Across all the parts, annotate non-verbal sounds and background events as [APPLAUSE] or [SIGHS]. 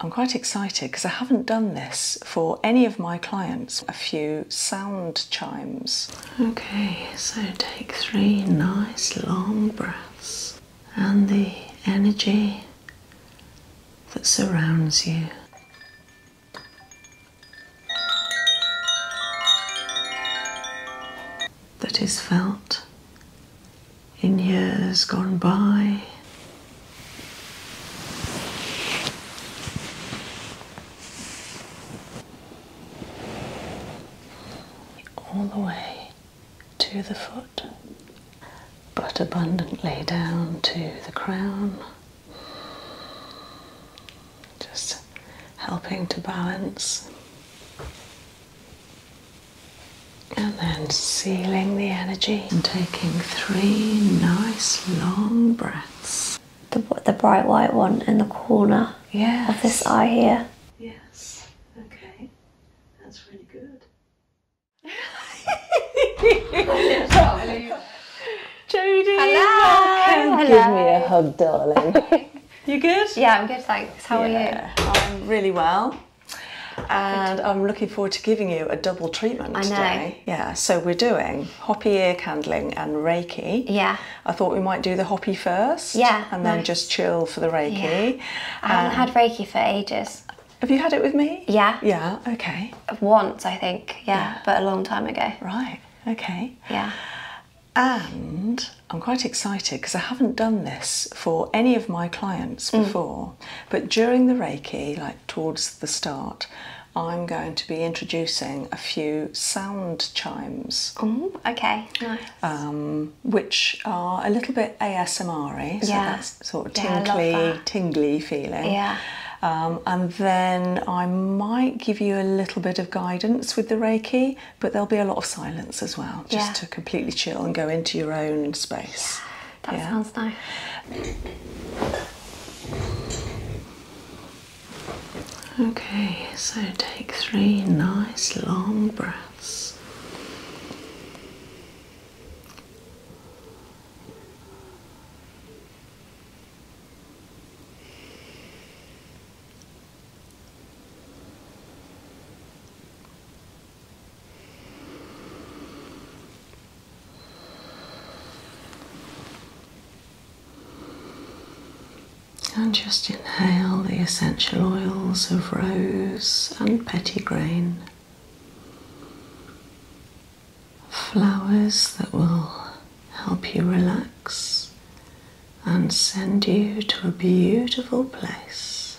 I'm quite excited because I haven't done this for any of my clients. A few sound chimes. Okay, so take three nice long breaths and the energy that surrounds you. That is felt in years gone by. All the way to the foot, but abundantly down to the crown, just helping to balance and then sealing the energy and taking three nice long breaths. The, bright white one in the corner of this eye here. Yes, okay. That's really good. Jodie! Hello! Hello! Give me a hug, darling. [LAUGHS] you good? Yeah, I'm good, thanks. How are you? I'm really well and I'm looking forward to giving you a double treatment today. Yeah, so we're doing hoppy ear candling and Reiki. Yeah. I thought we might do the hoppy first. Yeah. And then just chill for the Reiki. I haven't um, had Reiki for ages. Have you had it with me? Yeah. Yeah, okay. Once, I think, yeah, but a long time ago. Right, okay. Yeah. And I'm quite excited because I haven't done this for any of my clients mm. before. But during the Reiki, like towards the start, I'm going to be introducing a few sound chimes. okay, um, which are a little bit asmr so yeah. that's sort of tingly, tingly feeling. Yeah. Um, and then I might give you a little bit of guidance with the Reiki, but there'll be a lot of silence as well, just to completely chill and go into your own space. That sounds nice. Okay, so take three nice long breaths. And just inhale the essential oils of rose and pettigrain, flowers that will help you relax and send you to a beautiful place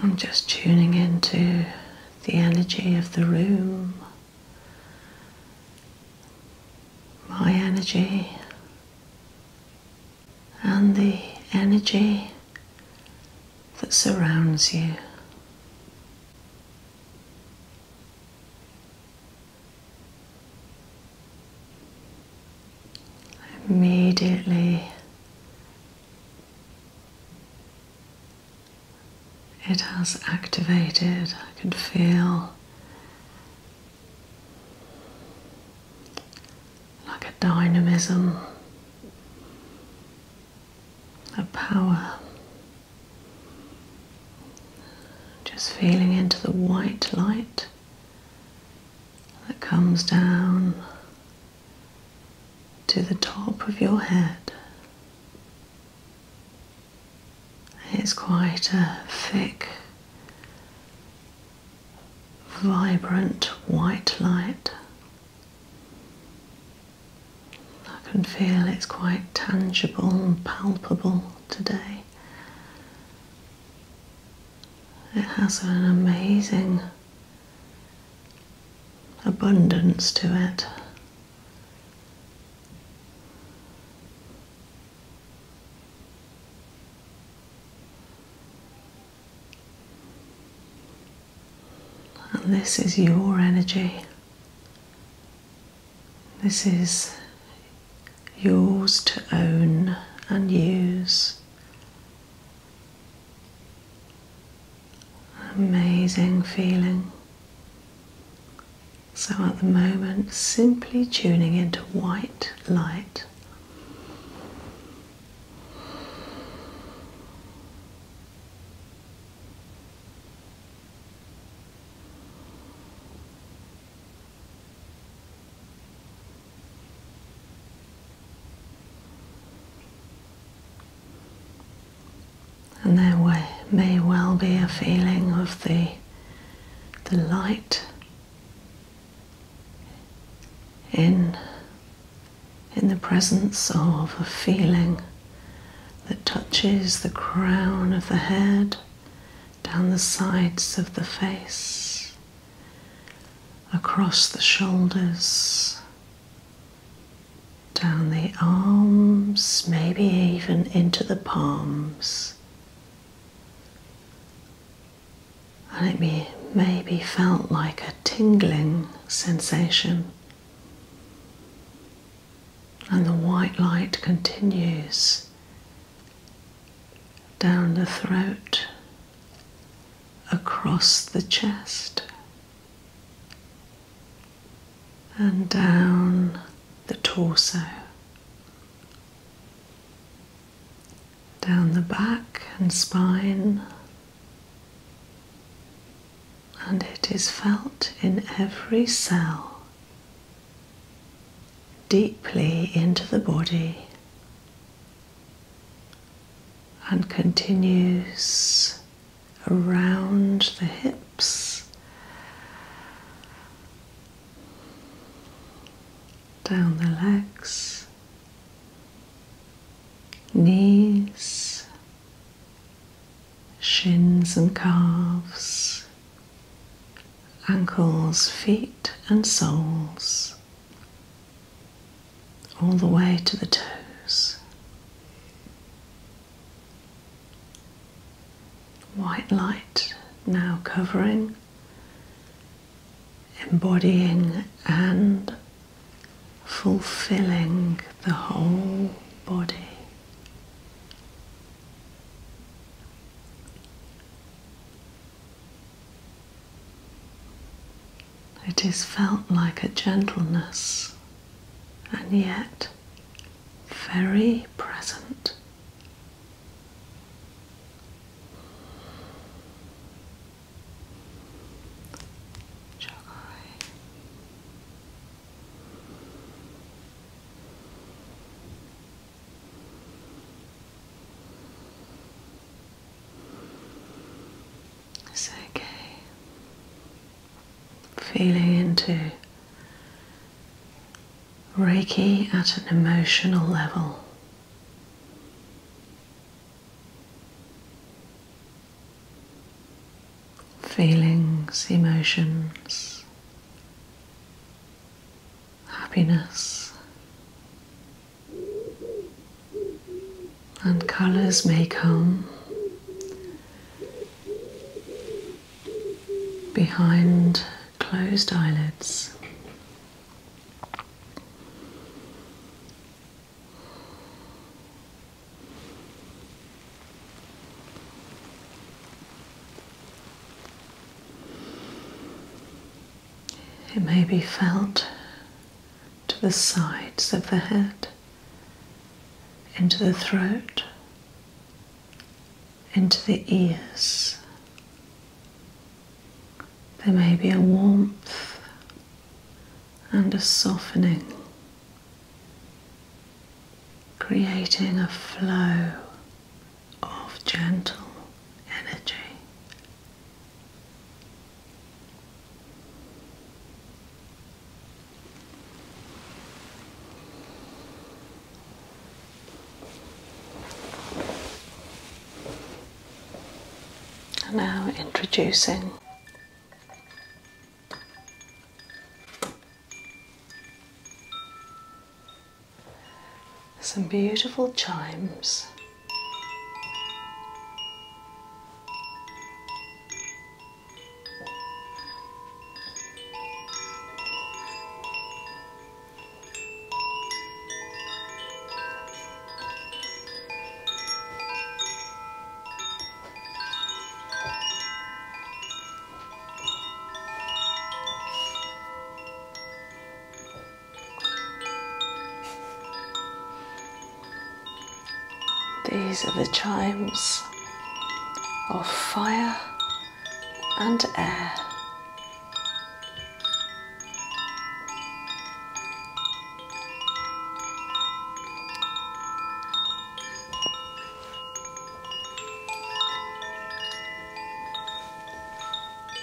I'm just tuning into the energy of the room, my energy, and the energy that surrounds you. Immediately, it has activated. I can feel like a dynamism, a power. Just feeling into the white light that comes down to the top of your head. It's quite a thick, vibrant white light. I can feel it's quite tangible palpable today. It has an amazing abundance to it. And this is your energy. This is yours to own and use. Amazing feeling. So at the moment, simply tuning into white light. And there may well be a feeling of the, the light in, in the presence of a feeling that touches the crown of the head, down the sides of the face, across the shoulders, down the arms, maybe even into the palms. And it may, maybe felt like a tingling sensation. And the white light continues down the throat, across the chest, and down the torso, down the back and spine. And it is felt in every cell deeply into the body and continues around the hips, down the legs, knees, shins and calves ankles, feet, and soles, all the way to the toes. White light now covering, embodying, and fulfilling the whole body. It is felt like a gentleness and yet very present. Say okay. Feeling into Reiki at an emotional level. Feelings, emotions, happiness. And colours may come behind closed eyelids. It may be felt to the sides of the head, into the throat, into the ears. There may be a warmth and a softening, creating a flow of gentle energy. And now introducing some beautiful chimes. These are the chimes of fire and air.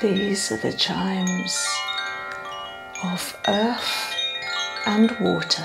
these are the chimes of earth and water.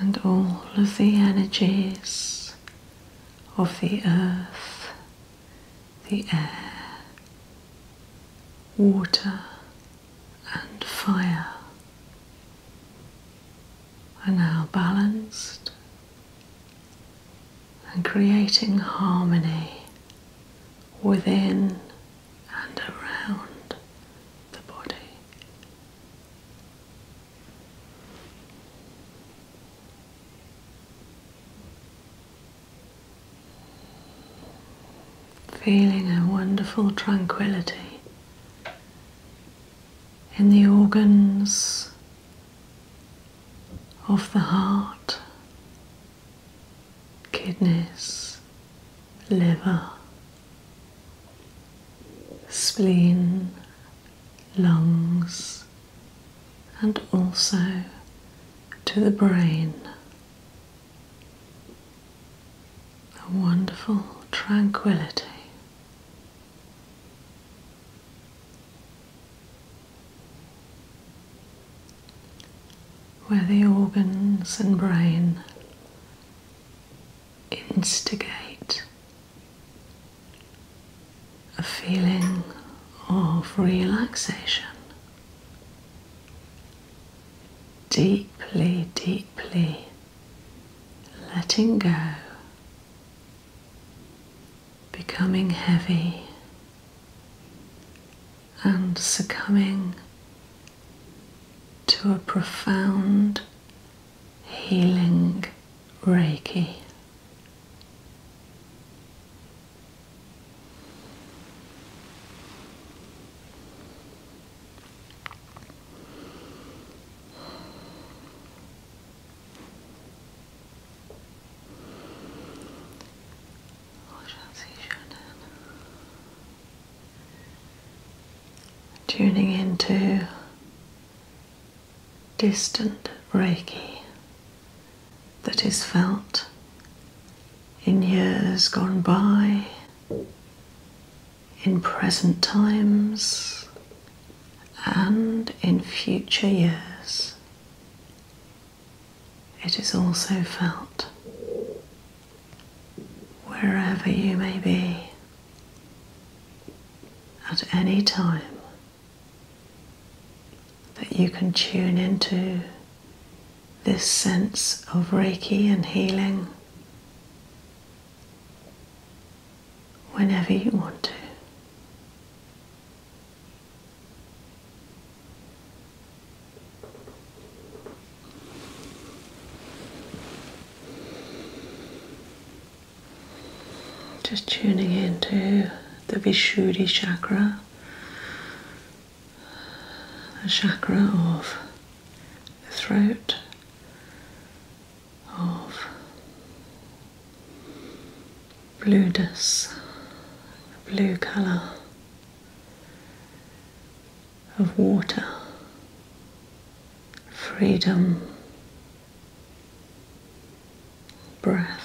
and all of the energies of the earth, the air, water, and fire are now balanced and creating harmony within and around the body. Feeling a wonderful tranquility in the organs of the heart, kidneys, liver, spleen, lungs, and also to the brain. A wonderful tranquility where the organs and brain instigate a feeling of relaxation. Deeply, deeply letting go becoming heavy and succumbing to a profound healing Reiki. Tuning into distant Reiki that is felt in years gone by in present times and in future years. It is also felt wherever you may be at any time that you can tune into this sense of Reiki and healing whenever you want to. Just tuning into the Vishuddhi chakra, the chakra of the throat, of blueness, the blue colour of water, freedom, breath.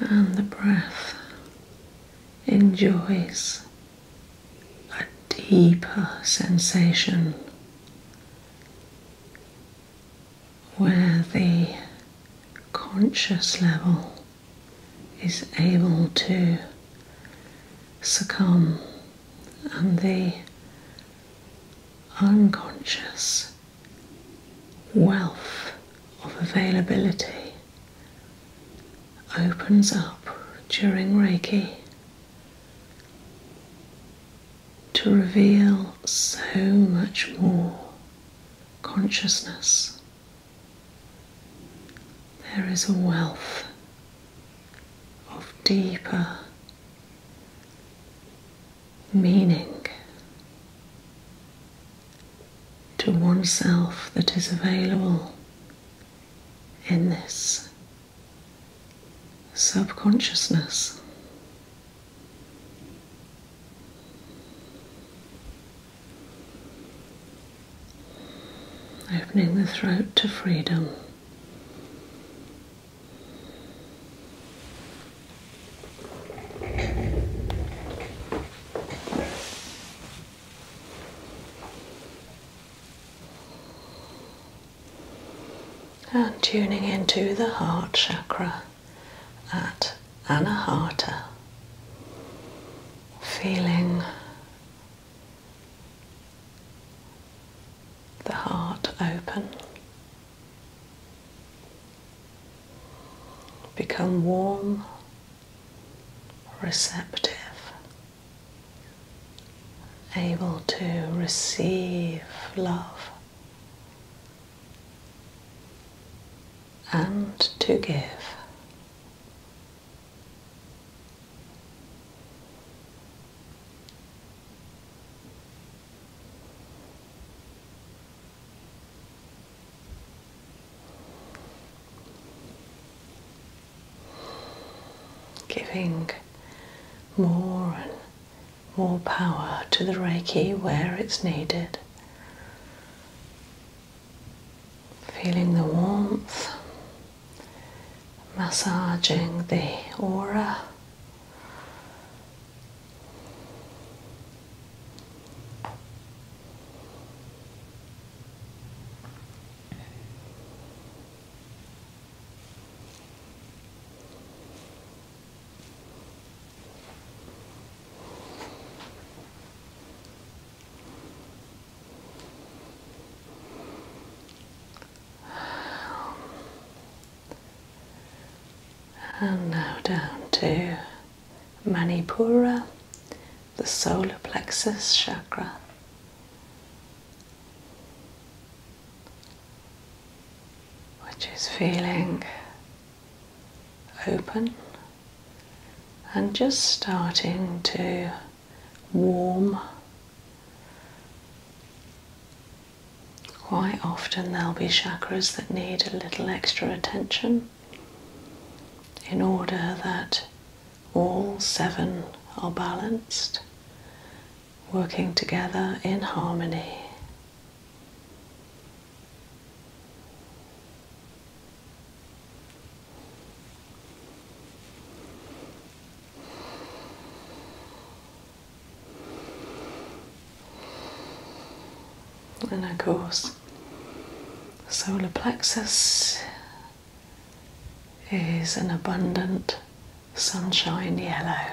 and the breath enjoys a deeper sensation where the conscious level is able to succumb and the unconscious wealth of availability opens up during Reiki to reveal so much more consciousness. There is a wealth of deeper meaning to oneself that is available in this subconsciousness. Opening the throat to freedom. And tuning into the heart chakra at Anahata, feeling the heart open. Become warm, receptive, able to receive love and to give. Giving more and more power to the Reiki where it's needed. Feeling the warmth, massaging the aura and now down to Manipura, the solar plexus chakra. Which is feeling open and just starting to warm Quite often, there'll be chakras that need a little extra attention in order that all seven are balanced, working together in harmony. And of course, solar plexus is an abundant sunshine yellow.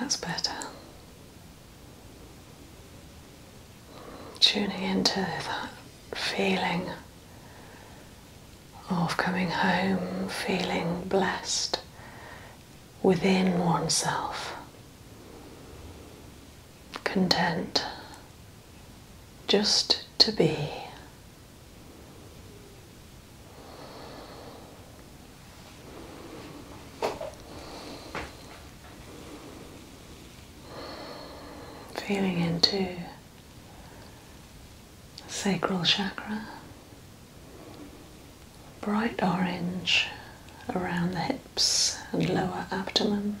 That's better. Tuning into that feeling of coming home feeling blessed within oneself, content just to be. Feeling into sacral chakra, bright orange around the hips and lower abdomen.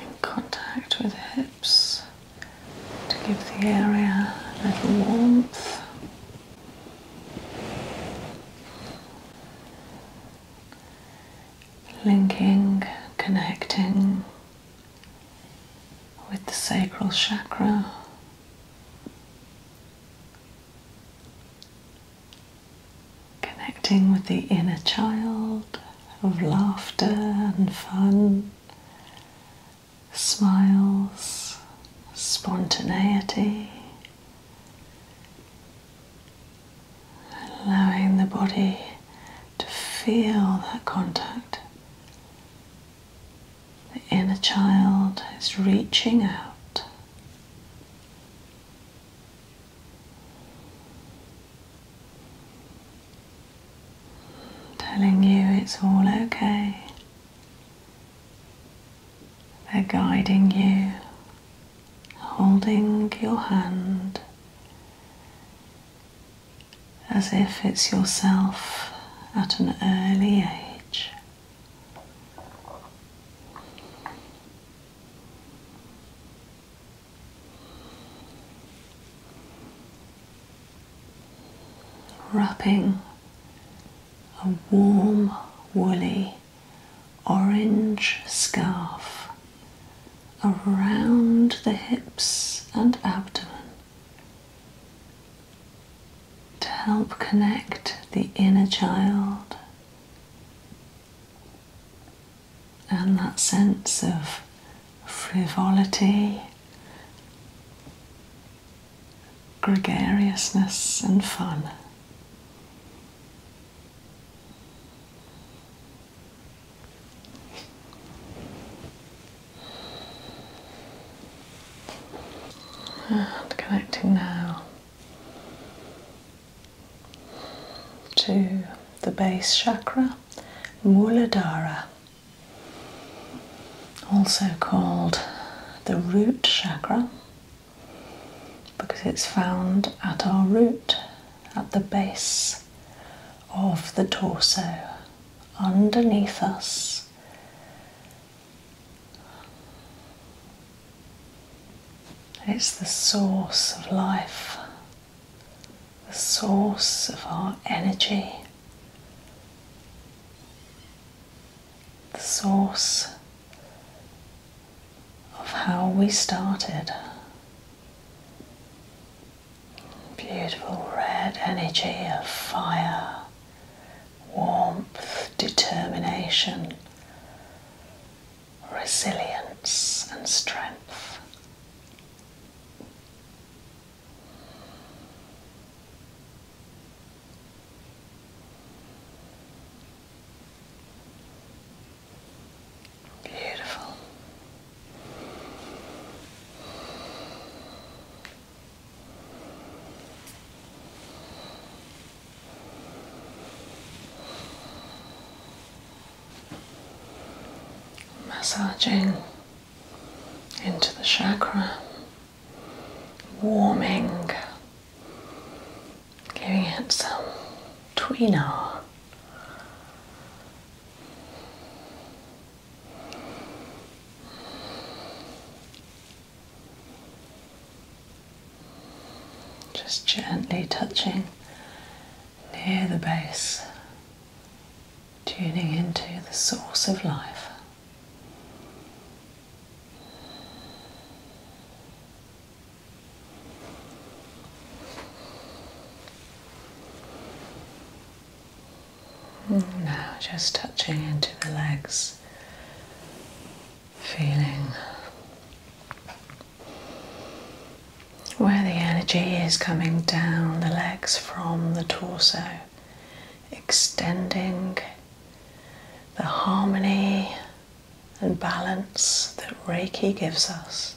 In contact with the hips to give the area a little warmth linking, connecting with the sacral chakra. Connecting with the inner child of laughter and fun, smiles, spontaneity, allowing the body to feel that contact. The inner child is reaching out. Telling you it's all okay. They're guiding you holding your hand as if it's yourself at an early age. Wrapping a warm, woolly, orange scarf around the hips and abdomen to help connect the inner child and that sense of frivolity, gregariousness, and fun and [SIGHS] connecting now to the base chakra, Muladhara, also called the root chakra because it's found at our root, at the base of the torso underneath us. It's the source of life, the source of our energy, the source of how we started. Beautiful red energy of fire, warmth, determination, resilience, and strength. Beautiful. Massaging into the chakra, warming, giving it some tweener just gently touching near the base, tuning into the source of life. Now, just touching into the legs, feeling where the energy is coming down the legs from the torso, extending the harmony and balance that Reiki gives us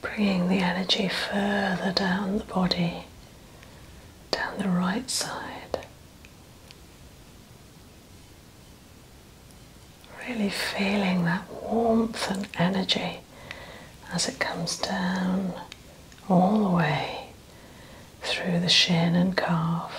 Bringing the energy further down the body, down the right side. Really feeling that warmth and energy as it comes down all the way through the shin and calf.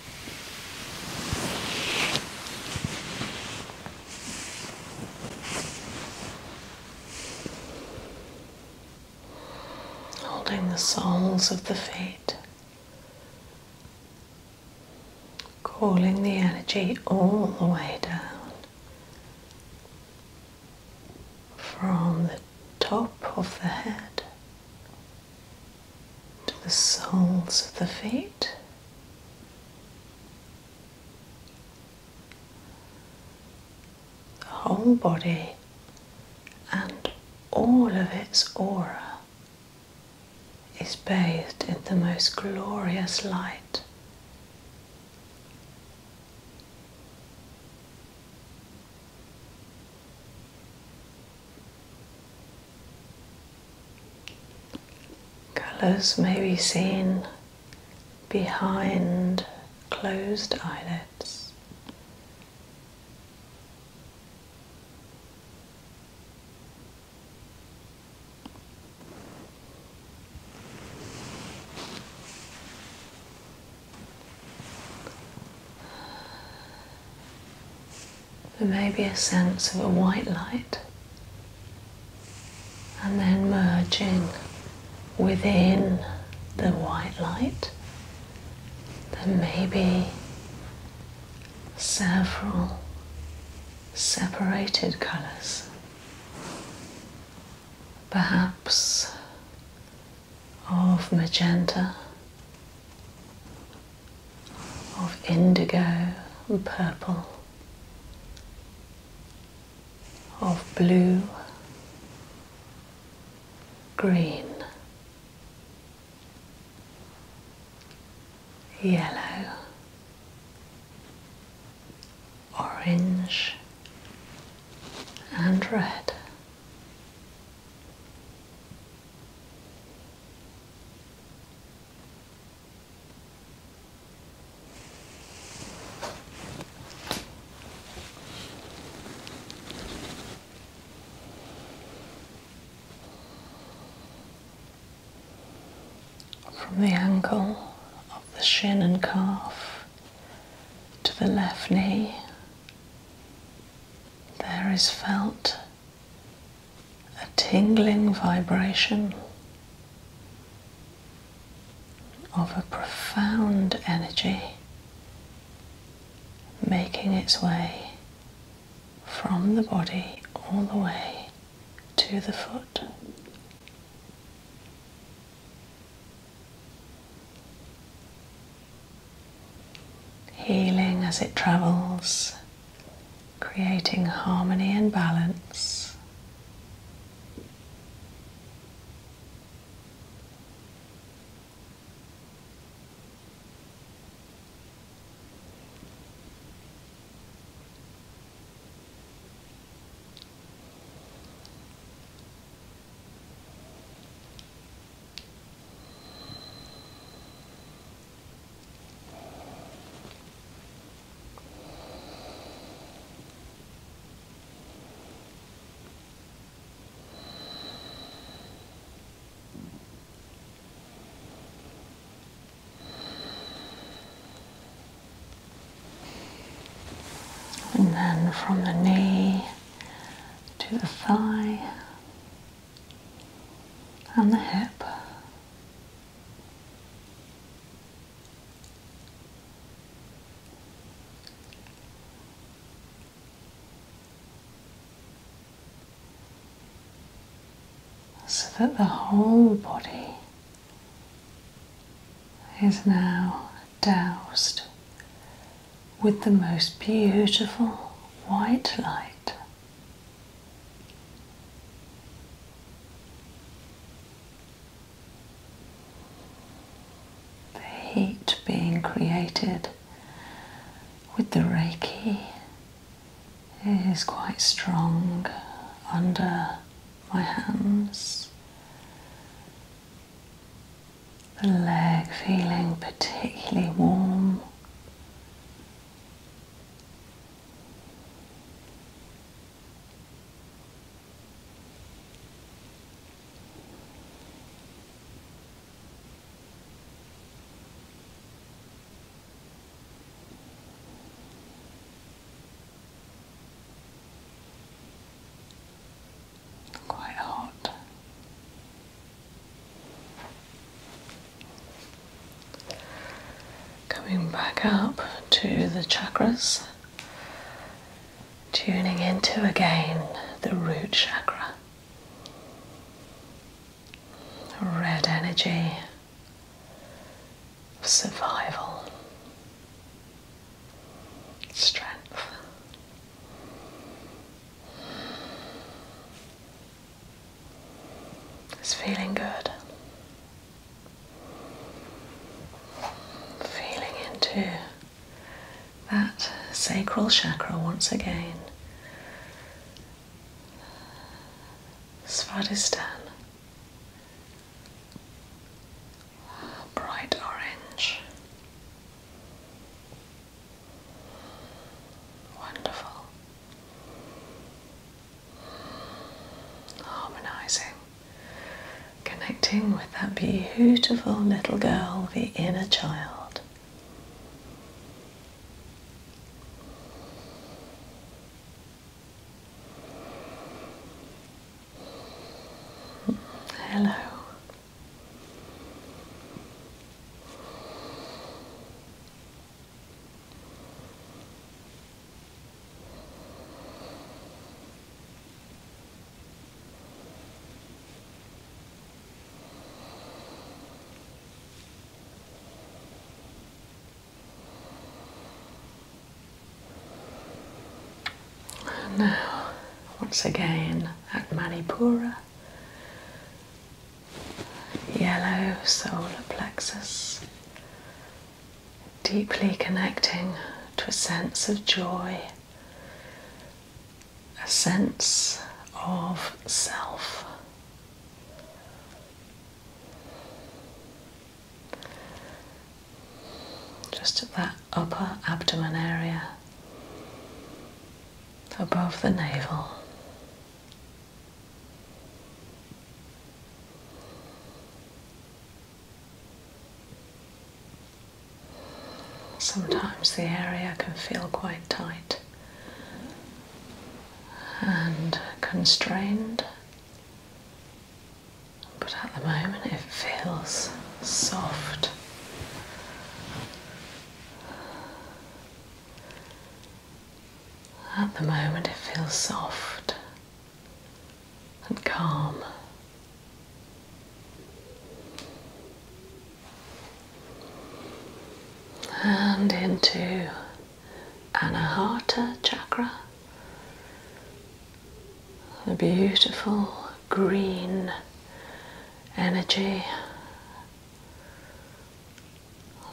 Holding the soles of the feet, calling the energy all the way down from the top of the head to the soles of the feet. The whole body and all of its aura is bathed in the most glorious light. Colours may be seen behind closed eyelids. There may be a sense of a white light and then merging within the white light. There may be several separated colours. Perhaps of magenta of indigo and purple, of blue, green, yellow, orange and red. From the ankle, of the shin and calf to the left knee, there is felt a tingling vibration of a profound energy making its way from the body all the way to the foot. Healing as it travels creating harmony and balance. And then from the knee to the thigh, and the hip. So that the whole body is now doused with the most beautiful white light. The heat being created with the Reiki is quite strong under my hands. The leg feeling particularly warm. Quite hot. Coming back up to the chakras, tuning into again the root chakra, red energy of survival, strength. It's feeling good. Feeling into that sacral chakra once again. Svadhisthana. Bright orange. Wonderful harmonizing, connecting with that beautiful little girl, the inner child. Hello now, once again at Manipura, yellow solar plexus, deeply connecting to a sense of joy, a sense of self. Just at that upper abdomen area, above the navel. Sometimes the area can feel quite tight and constrained, but at the moment it feels soft. At the moment, it feels soft and calm. And into Anahata chakra, the beautiful green energy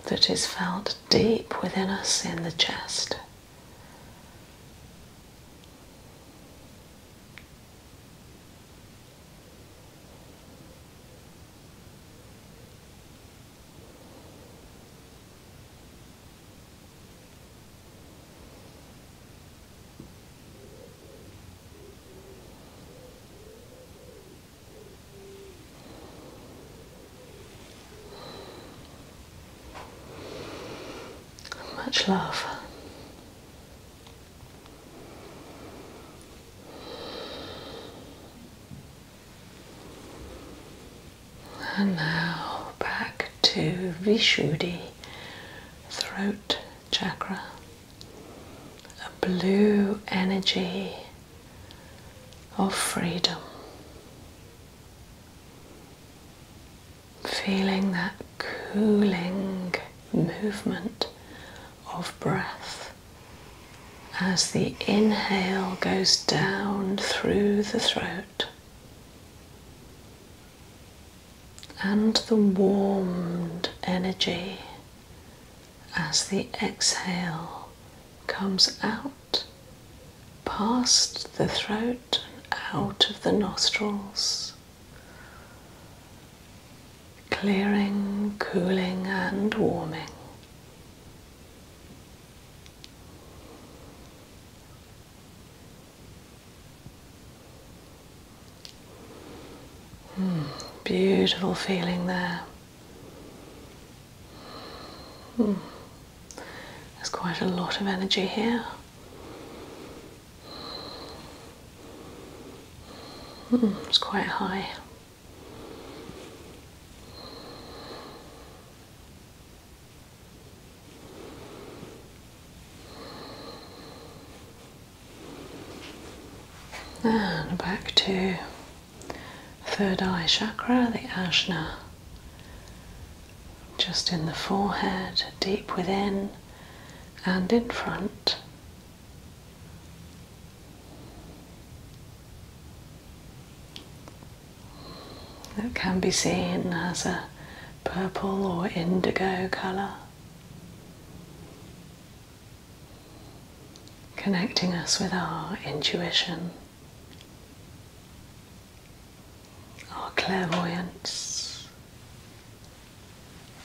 that is felt deep within us in the chest. Much love. And now back to Vishuddi throat chakra, a blue energy of freedom. Feeling that cooling movement of breath as the inhale goes down through the throat and the warmed energy as the exhale comes out past the throat, out of the nostrils, clearing, cooling, and warming. Hmm, beautiful feeling there. There's quite a lot of energy here. Hmm, it's quite high. Ah, and back to Third eye chakra, the ajna, just in the forehead, deep within and in front. It can be seen as a purple or indigo colour connecting us with our intuition, our clairvoyance,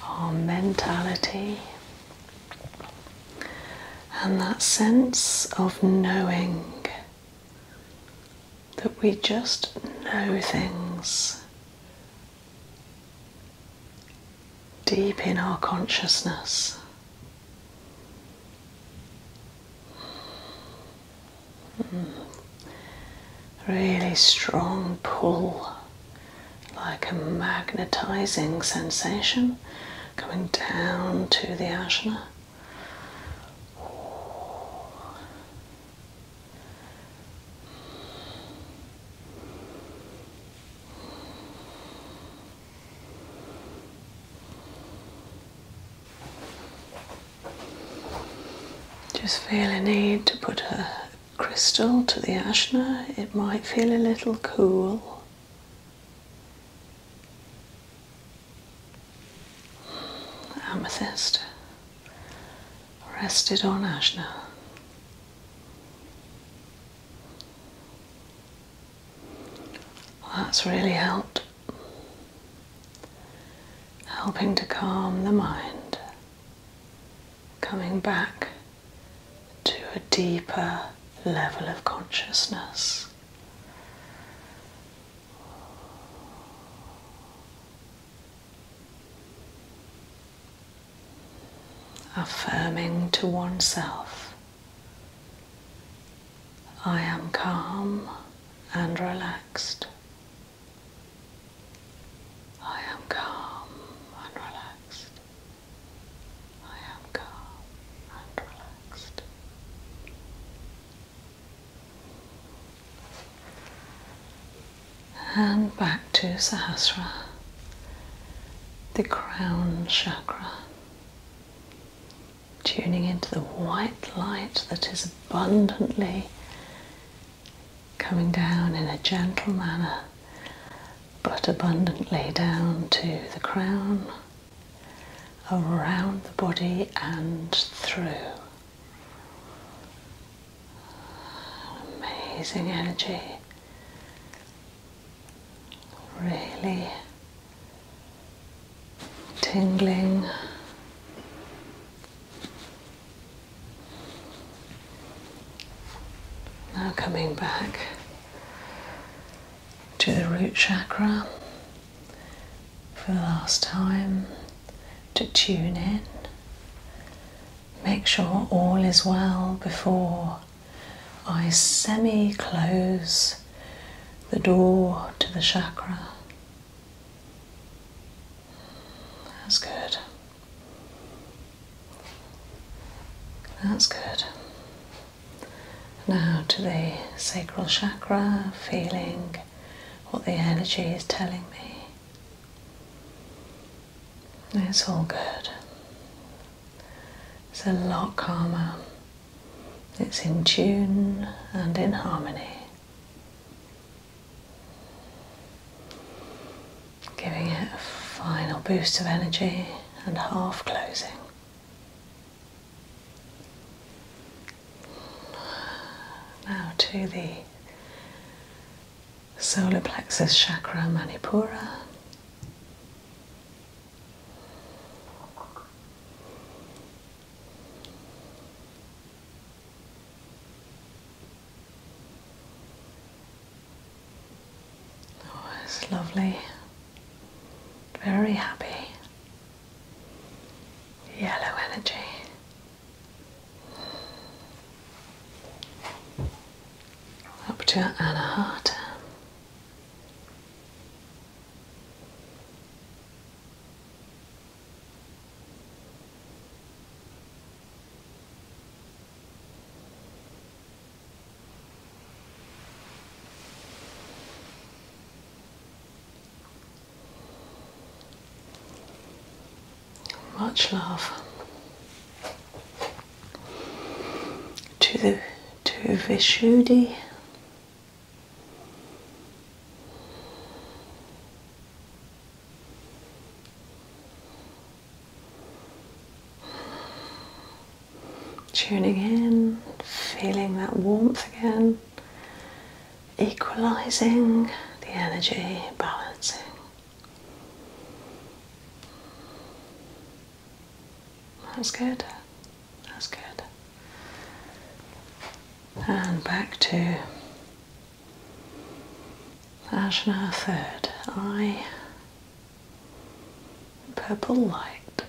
our mentality, and that sense of knowing that we just know things deep in our consciousness. Hmm. Really strong pull, like a magnetizing sensation coming down to the asana. Just feel a need to put a crystal to the ashna, it might feel a little cool. Amethyst rested on ashna that's really helped. Helping to calm the mind, coming back to a deeper level of consciousness. Affirming to oneself I am calm and relaxed. I am calm and relaxed. I am calm and relaxed. And back to Sahasra, the crown chakra. Tuning into the white light that is abundantly coming down in a gentle manner, but abundantly down to the crown, around the body, and through. Amazing energy really tingling. Now coming back to the root chakra for the last time to tune in. Make sure all is well before I semi close the door to the chakra. That's good. That's good. Now to the sacral chakra, feeling what the energy is telling me. It's all good. It's a lot calmer. It's in tune and in harmony. Giving it a final boost of energy and half closing. Now to the solar plexus chakra manipura. Oh, it's lovely. Very happy. Yellow energy. Up to Anna Hart. Much love to the to Vishuddhi. Tuning in, feeling that warmth again, equalizing the energy, balancing. That's good. That's good. And back to Ajna third eye. Purple light.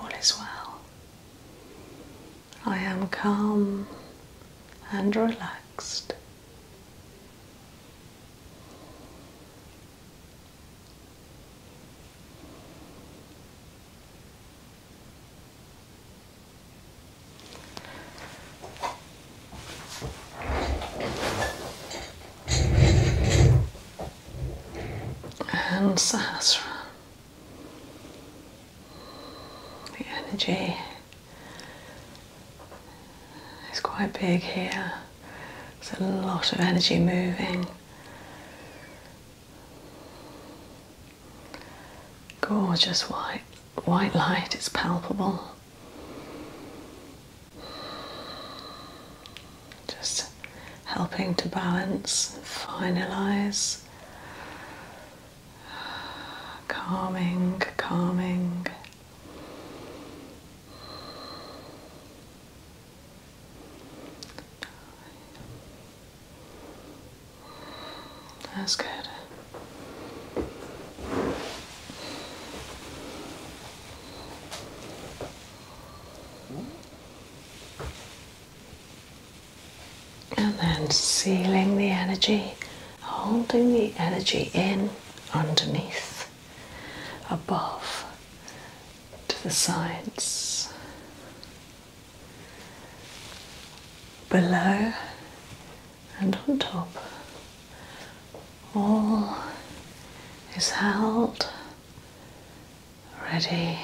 All is well. I am calm and relaxed and Sahasra. The energy it's quite big here. There's a lot of energy moving. Gorgeous white, white light, it's palpable. Just helping to balance, finalize. Calming, calming. That's good. And then sealing the energy holding the energy in underneath, above, to the sides, below, and on top. All is held ready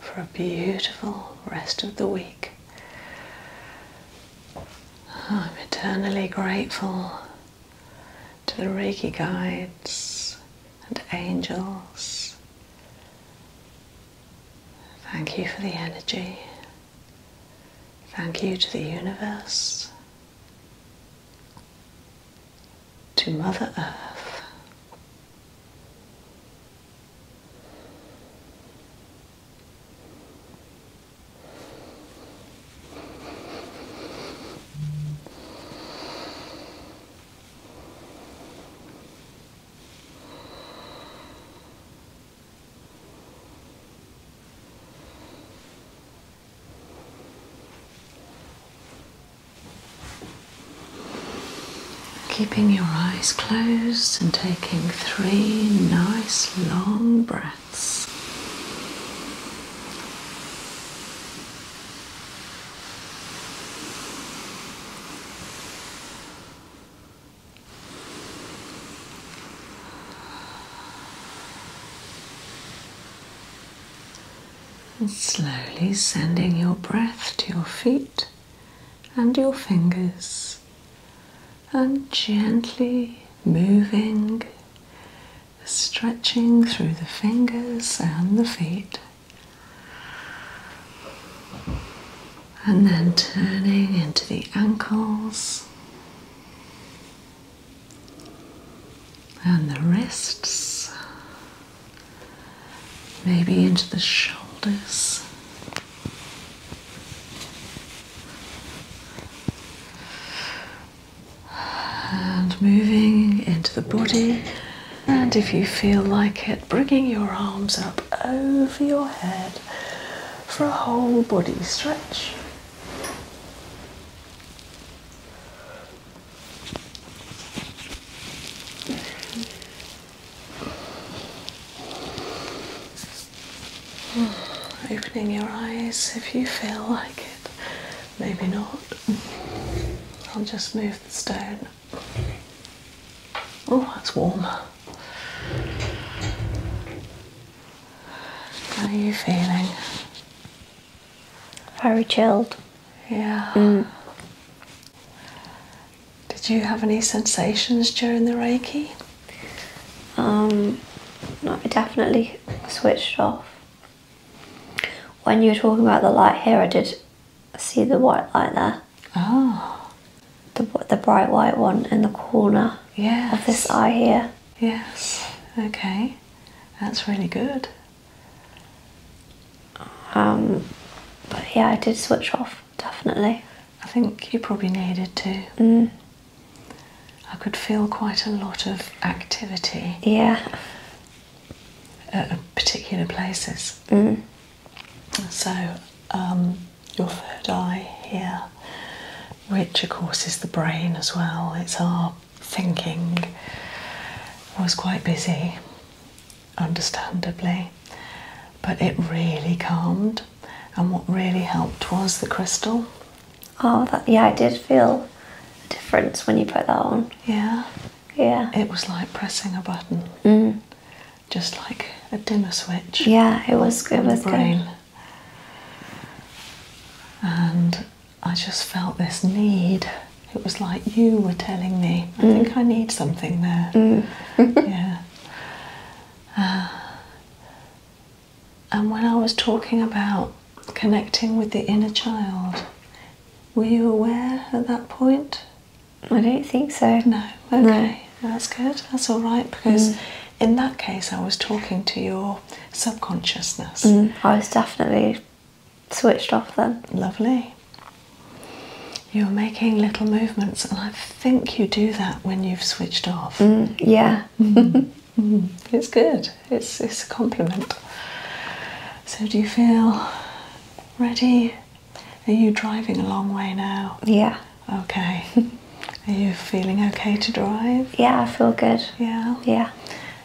for a beautiful rest of the week. I'm eternally grateful to the Reiki guides and angels. Thank you for the energy. Thank you to the universe, to Mother Earth. Keeping your eyes closed and taking three nice long breaths slowly sending your breath to your feet and your fingers and gently moving, stretching through the fingers and the feet, and then turning into the ankles and the wrists, maybe into the shoulders. And moving into the body, and if you feel like it, bringing your arms up over your head for a whole body stretch. [SIGHS] Opening your eyes if you feel like it. Maybe not. I'll just move the stone. Oh, that's warm. How are you feeling? Very chilled. Yeah. Mm. Did you have any sensations during the Reiki? Um, no, I definitely switched off. When you were talking about the light here, I did see the white light there. Oh. The, the bright white one in the corner of this eye here. Yes, okay. That's really good. Um, but yeah, I did switch off, definitely. I think you probably needed to. Mm. I could feel quite a lot of activity. Yeah. At particular places. Mm. So, um, your third eye here, which of course is the brain as well, it's our thinking, was quite busy, understandably, but it really calmed and what really helped was the crystal. Oh, that, yeah, I did feel a difference when you put that on. Yeah. Yeah. It was like pressing a button. Mm. Just like a dimmer switch. Yeah, it was good. It was good. And I just felt this need. It was like you were telling me, I think mm. I need something there. Mm. [LAUGHS] yeah. Uh, and when I was talking about connecting with the inner child, were you aware at that point? I don't think so. No, okay, that's good, that's all right because. Mm. In that case, I was talking to your subconsciousness. Mm, I was definitely switched off then. Lovely. You're making little movements, and I think you do that when you've switched off. Mm, yeah. Mm-hmm. it's good. It's it's a compliment. So do you feel ready? Are you driving a long way now? Yeah. Okay. [LAUGHS] Are you feeling okay to drive? Yeah, I feel good. Yeah. Yeah.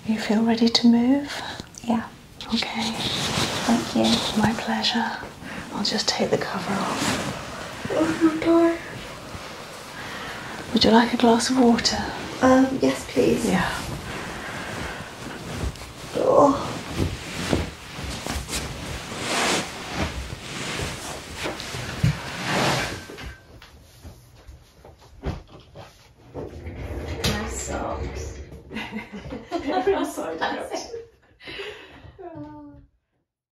You feel ready to move? Yeah. Okay. Thank you. My pleasure. I'll just take the cover off. Oh, would you like a glass of water? Um, yes, please. Yeah. Oh. My socks. [LAUGHS] Everyone's so [LAUGHS] [LAUGHS]